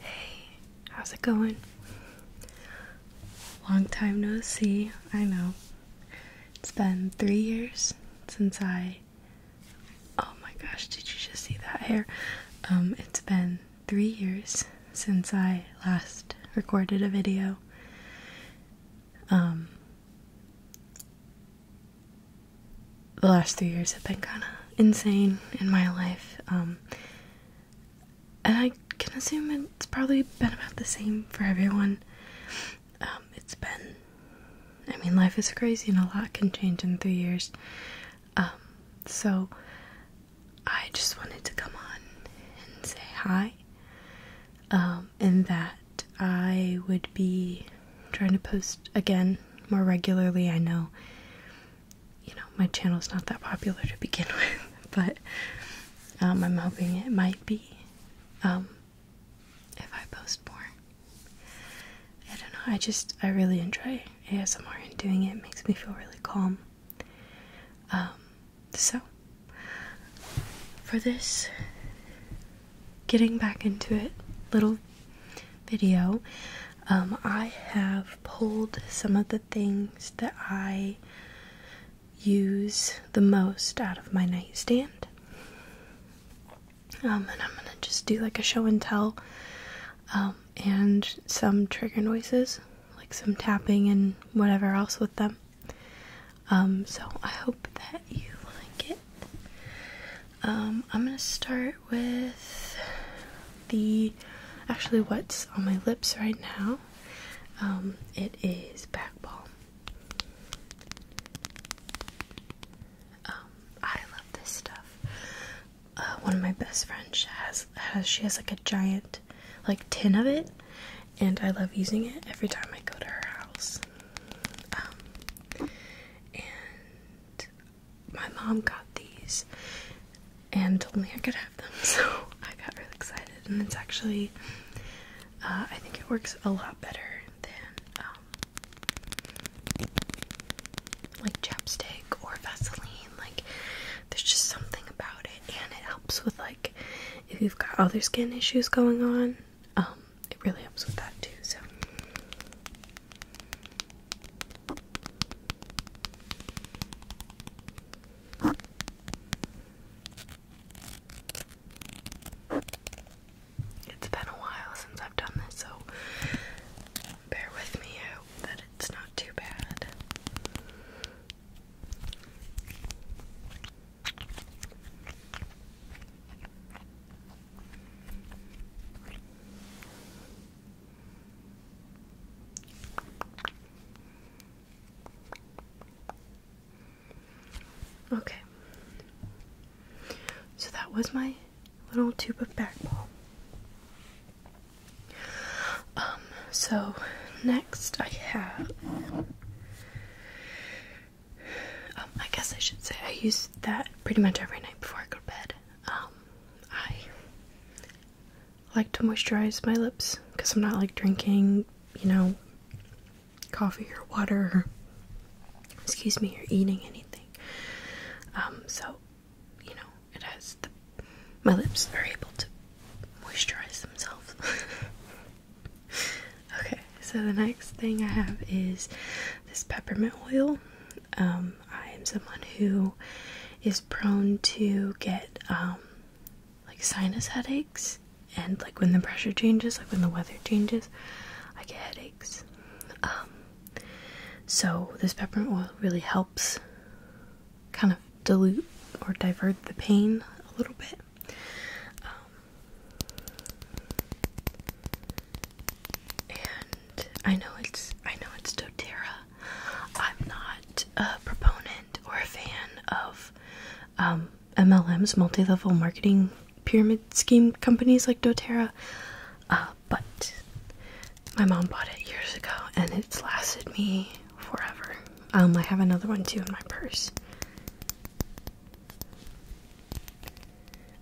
Hey, how's it going? Long time no see, I know. It's been three years since I. Oh my gosh, did you just see that hair? Um, it's been three years since I last recorded a video. Um, the last three years have been kind of insane in my life. Um, and I can assume it's probably been about the same for everyone. Um, it's been, I mean, life is crazy and a lot can change in three years. Um, so I just wanted to come on and say hi. and that I would be trying to post again more regularly. I know, you know, my channel is not that popular to begin with, but um, I'm hoping it might be um, if I post more. I don't know. I just I really enjoy ASMR and doing it makes me feel really calm. Um, so for this getting back into it, little video. Um, I have pulled some of the things that I use the most out of my nightstand. Um, and I'm gonna just do like a show and tell um, and some trigger noises, like some tapping and whatever else with them. Um, so I hope that you like it. Um, I'm gonna start with the actually what's on my lips right now. Um, it is back balm. Um, I love this stuff. Uh, one of my best friends has has she has like a giant like tin of it, and I love using it every time I go to her house and my mom got these and told me I could have them, so I got really excited. And it's actually, uh, I think it works a lot better than um, like chapstick or Vaseline. Like, there's just something about it, and it helps with like if you've got other skin issues going on. Um, it really helps with that too. So. It's been a while since I've done this, so bear with me. I it's not too bad. Okay, so that was my little tube of back ball. Um, so next I have um, I guess I should say I use that pretty much every night before I go to bed. Um, I like to moisturize my lips because I'm not like drinking, you know, coffee or water or, excuse me, or eating anything. Um, so, you know, it has the, my lips are able to moisturize themselves. okay, so the next thing I have is this peppermint oil. Um, I am someone who is prone to get um, like sinus headaches, and like when the pressure changes, like when the weather changes, I get headaches. Um, so this peppermint oil really helps kind of dilute or divert the pain a little bit. And I know it's I know it's doTERRA. I'm not a proponent or a fan of um, MLMs, multi-level marketing pyramid scheme companies like doTERRA, uh, but my mom bought it years ago and it's lasted me forever. Um, I have another one too in my purse.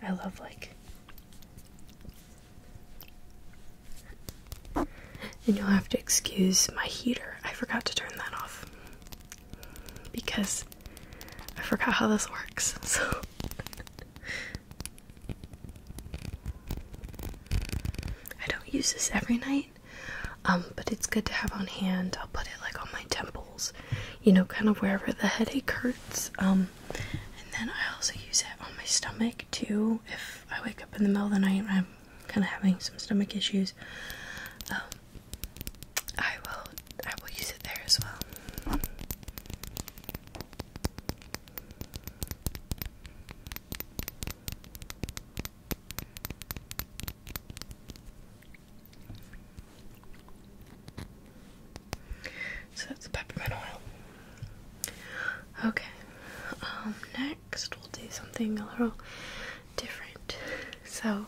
I love like and you'll have to excuse my heater. I forgot to turn that off because I forgot how this works. So I don't use this every night. Um, but it's good to have on hand. I'll put it like on my temples, you know, kind of wherever the headache hurts. Um, and then I also use it on my stomach too. If I wake up in the middle of the night and I'm kind of having some stomach issues, um, I will I will use it there as well. So that's peppermint oil. Okay, um, next we'll do something a little different. So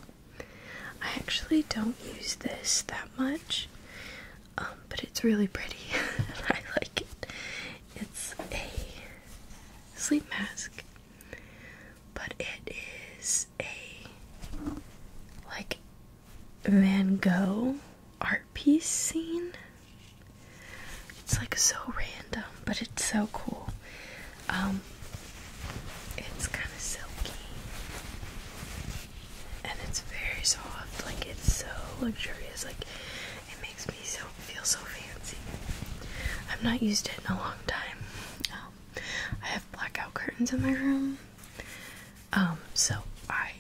I actually don't use this that much, um, but it's really pretty I like it. It's a sleep mask but it is a like Van Gogh art piece scene. It's like so random, but it's so cool. Um, it's kind of silky and it's very soft, like it's so luxurious, like it makes me so feel so fancy. I've not used it in a long time. Um, I have blackout curtains in my room. Um, so I,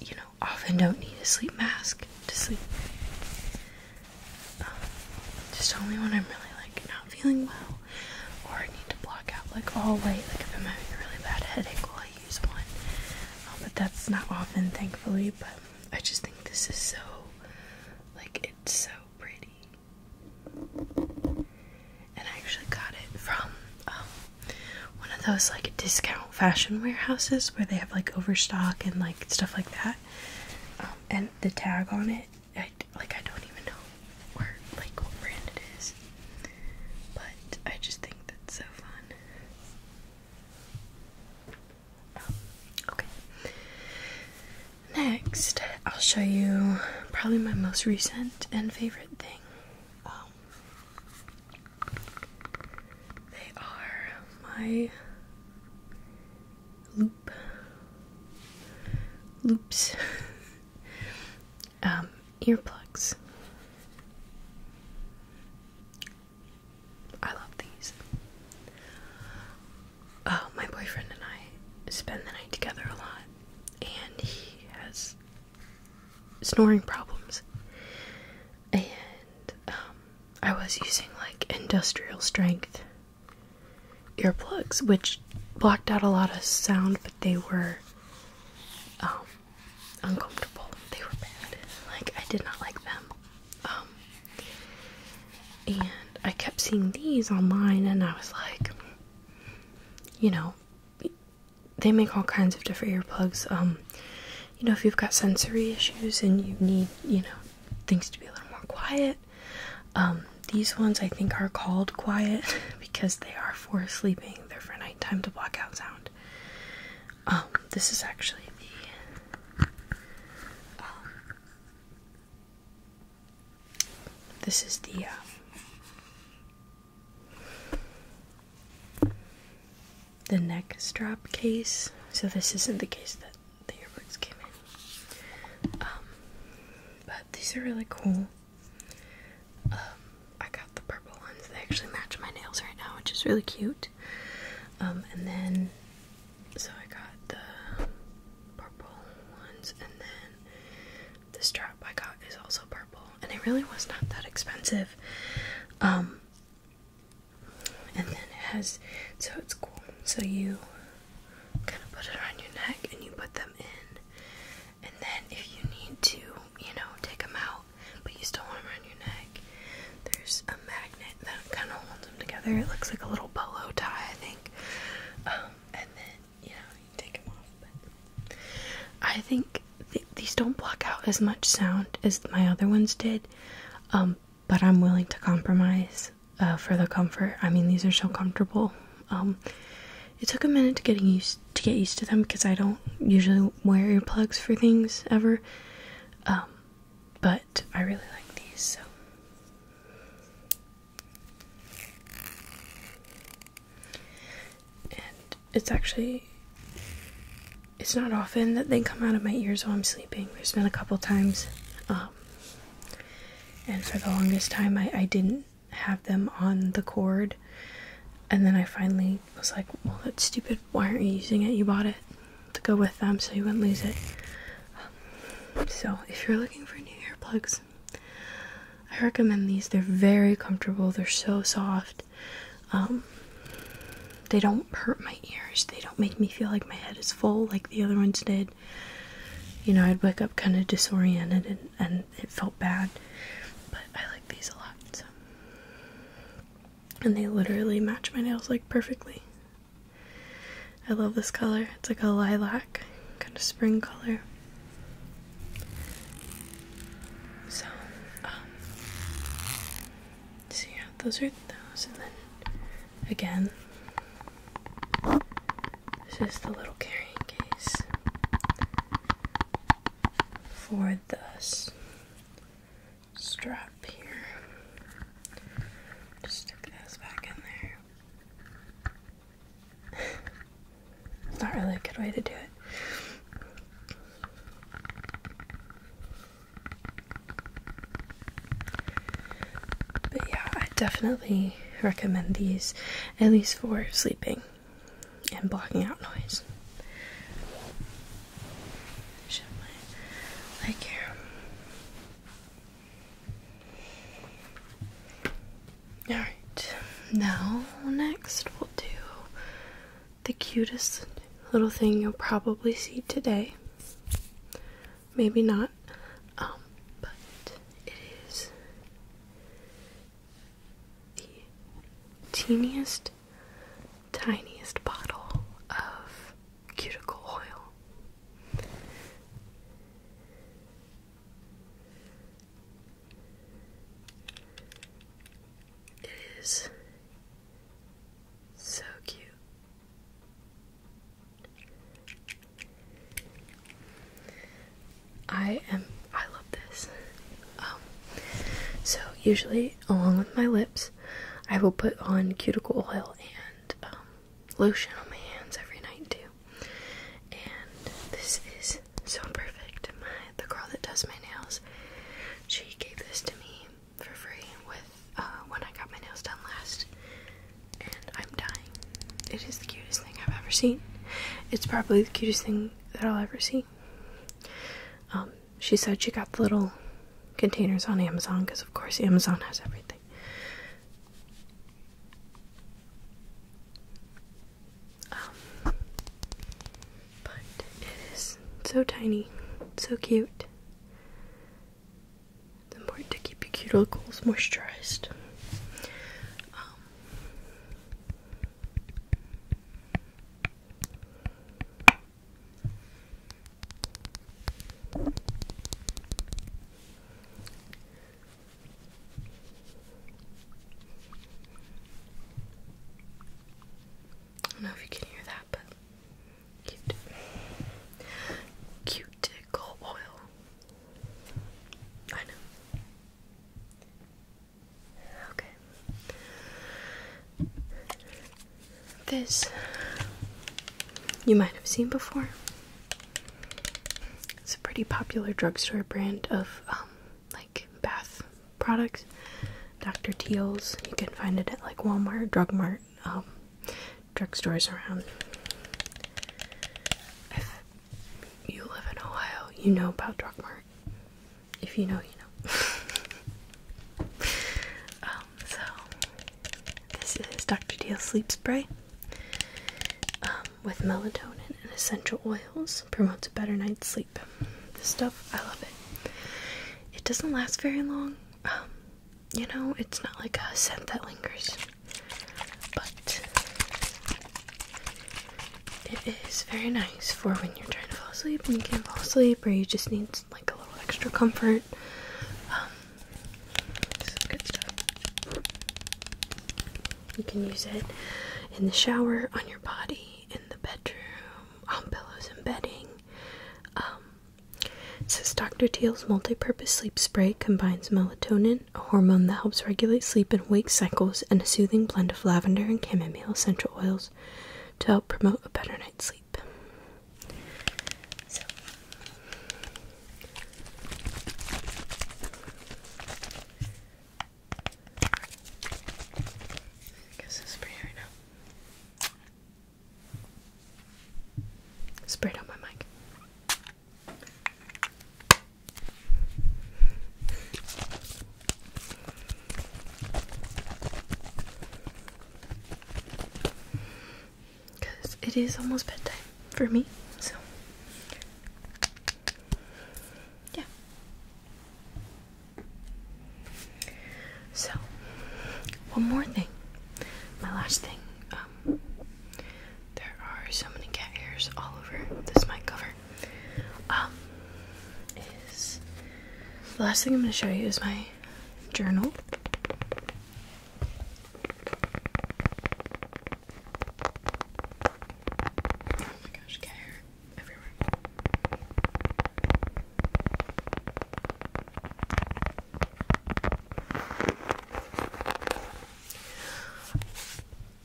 you know, often don't need a sleep mask to sleep. Um, just only when I'm really like not feeling well or I need to block out like all light, like if I'm having a really bad headache while I use one. Um, but that's not often thankfully, but I just think this is so like it's so pretty and I actually got it from um, one of those like discount fashion warehouses where they have like overstock and like stuff like that. Um, and the tag on it, I, like I don't even know where like what brand it is, but I just think that's so fun. Um, okay. Next, I'll show you probably my most recent and favorite thing. Um, they are my loop loops um, earplugs. I love these uh, my boyfriend and I spend the night together a lot, and he has snoring problems. And um, I was using like industrial strength earplugs, which blocked out a lot of sound, but they were um, uncomfortable. They were bad. Like I did not like them. Um, and I kept seeing these online, and I was like, you know, they make all kinds of different earplugs. Um, you know, if you've got sensory issues and you need, you know, things to be a little more quiet, um, these ones I think are called quiet because they are for sleeping. They're for nighttime to block out sound. Um, this is actually the um, this is the. Uh, the neck strap case. So this isn't the case that the earbuds came in. Um, but these are really cool. Um, I got the purple ones. They actually match my nails right now, which is really cute. Um, and then so I got the purple ones, and then the strap I got is also purple, and it really was not that expensive. Um, and then it has so it's cool. So you kind of put it around your neck, and you put them in, and then if you need to, you know, take them out, but you still want them around your neck. There's a magnet that kind of holds them together. It looks like a little polo tie, I think. Um, and then you know you take them off. I think these don't block out as much sound as my other ones did. Um, but I'm willing to compromise uh, for the comfort. I mean, these are so comfortable. Um, it took a minute to get used to get used to them because I don't usually wear earplugs for things ever but I really like these so. And it's actually it's not often that they come out of my ears while I'm sleeping. There's been a couple times, um, and for the longest time I, I didn't have them on the cord, and then I finally was like, "Well, that's stupid. Why aren't you using it? You bought it." to go with them so you wouldn't lose it. Um, so, if you're looking for new earplugs, I recommend these. They're very comfortable, they're so soft. Um, they don't hurt my ears, they don't make me feel like my head is full like the other ones did. You know, I'd wake up kind of disoriented and, it felt bad, but I like these a lot. And they literally match my nails like perfectly. I love this color. It's like a lilac, kind of spring color. So, see? Um, so yeah, those are those, and then again, this is the little carrying case for this strap here. Just stick this back in there. it's not really a good way to do it. But yeah, I definitely recommend these, at least for sleeping and blocking out noise. Shove my leg here. Alright, now next we'll do the cutest little thing you'll probably see today. Maybe not, um, but it is the teeniest tiniest bottle of cuticle oil. It is so cute. I am I love this. Um, so usually along with my lips I will put on cuticle oil and um, lotion on my hands every night too. And this is so perfect. My the girl that does my nails, she gave this to me for free with uh, when I got my nails done last, and I'm dying. It is the cutest thing I've ever seen. It's probably the cutest thing that I'll ever see. Um, she said she got the little containers on Amazon because, of course, Amazon has everything. Um, but it is so tiny, so cute. It's important to keep your cuticles moisturized. Um, I don't know if you can hear that, but cute. Cuticle oil. I know. Okay. This you might have seen before. It's a pretty popular drugstore brand of um, like bath products. Dr. Teal's. You can find it at like Walmart, Drug Mart, um, drugstores around. If you live in Ohio, you know about Drug Mart if you know, you know. Um, so this is Dr. Deal Sleep Spray um, with melatonin and essential oils. Promotes a better night's sleep. This stuff, I love it. It doesn't last very long. Um, you know, it's not like a scent that lingers, but it is very nice for when you're trying to fall asleep and you can't fall asleep, or you just need like a little extra comfort. Um, good stuff. You can use it in the shower, on your body, in the bedroom, on pillows and bedding. Um, it says Dr. Teal's multi-purpose sleep spray combines melatonin, a hormone that helps regulate sleep and wake cycles, and a soothing blend of lavender and chamomile essential oils to help promote a better night's sleep. I guess I'll right now. Spray it my mic. Because it is almost bedtime for me, so yeah. So, one more thing. My last thing. Um, there are so many cat hairs all over this mic cover. Um, the last thing I'm going to show you is my journal. Oh my gosh, hair everywhere.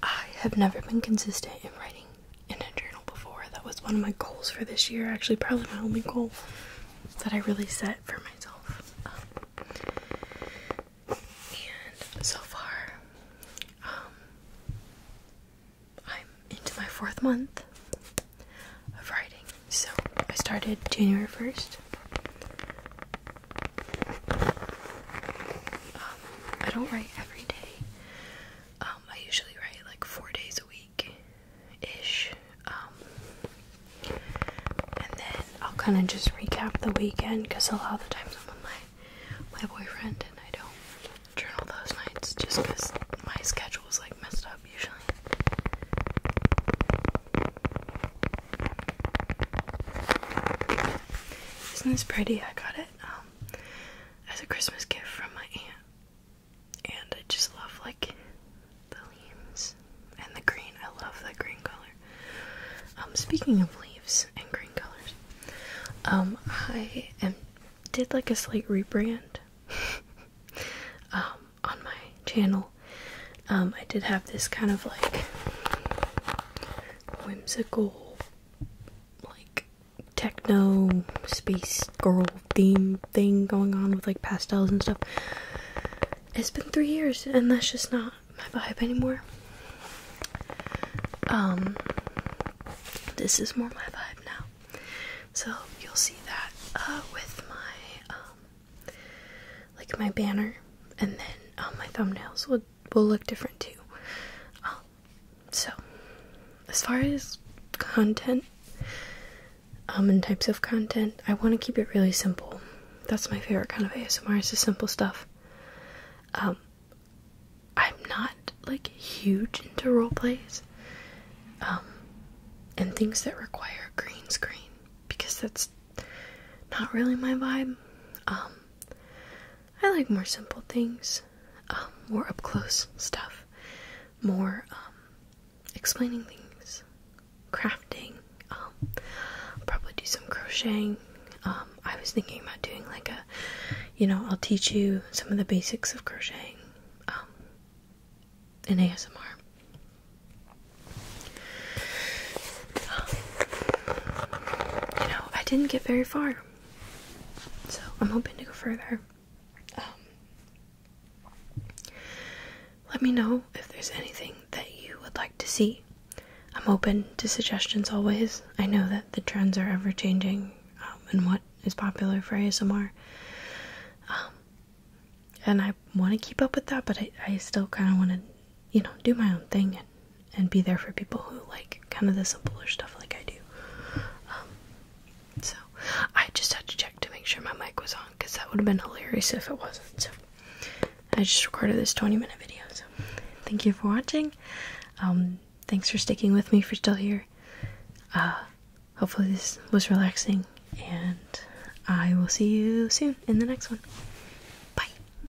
I have never been consistent in writing in a journal before. That was one of my goals for this year, actually, probably my only goal that I really set for myself. and so far, um, I'm into my fourth month of writing. So I started January 1st. Um, I don't write every day. Um, I usually write like four days a week ish. Um, and then I'll kind of just recap the weekend because a lot of the times I'm with my, my boyfriend and I don't journal those nights just because my schedule is like messed up usually. Isn't this pretty? I got it. Um, as a Christmas gift from my aunt. And I just love like the leaves and the green. I love the green color. Um, speaking of leaves and green colors, um, I did like a slight rebrand um, on my channel. I did have this kind of like whimsical, like techno space girl theme thing going on with like pastels and stuff. It's been three years and that's just not my vibe anymore. Um this is more my vibe now. So you'll see that uh with my um like my banner and then um, my thumbnails will will look different too. Um, so, as far as content um, and types of content, I want to keep it really simple. That's my favorite kind of ASMR is the simple stuff. Um, I'm not like huge into role plays um, and things that require green screen because that's not really my vibe. Um, I like more simple things, um, more up close stuff, more um, explaining things, crafting. I'll um, probably do some crocheting. I was thinking about doing like a, you know, I'll teach you some of the basics of crocheting in ASMR you know, I didn't get very far. So I'm hoping to go further. Um, let me know if there's anything that you would like to see. I'm open to suggestions always. I know that the trends are ever changing um, and what is popular for ASMR. Um, and I want to keep up with that, but I, I still kind of want to you know, do my own thing and, and be there for people who like kind of the simpler stuff like I do. Um, so I just had to check to make sure my mic was on because that would have been hilarious if it wasn't. So I just recorded this 20 minute video. So thank you for watching. Um, thanks for sticking with me if you're still here. Uh, hopefully, this was relaxing, and I will see you soon in the next one. Bye.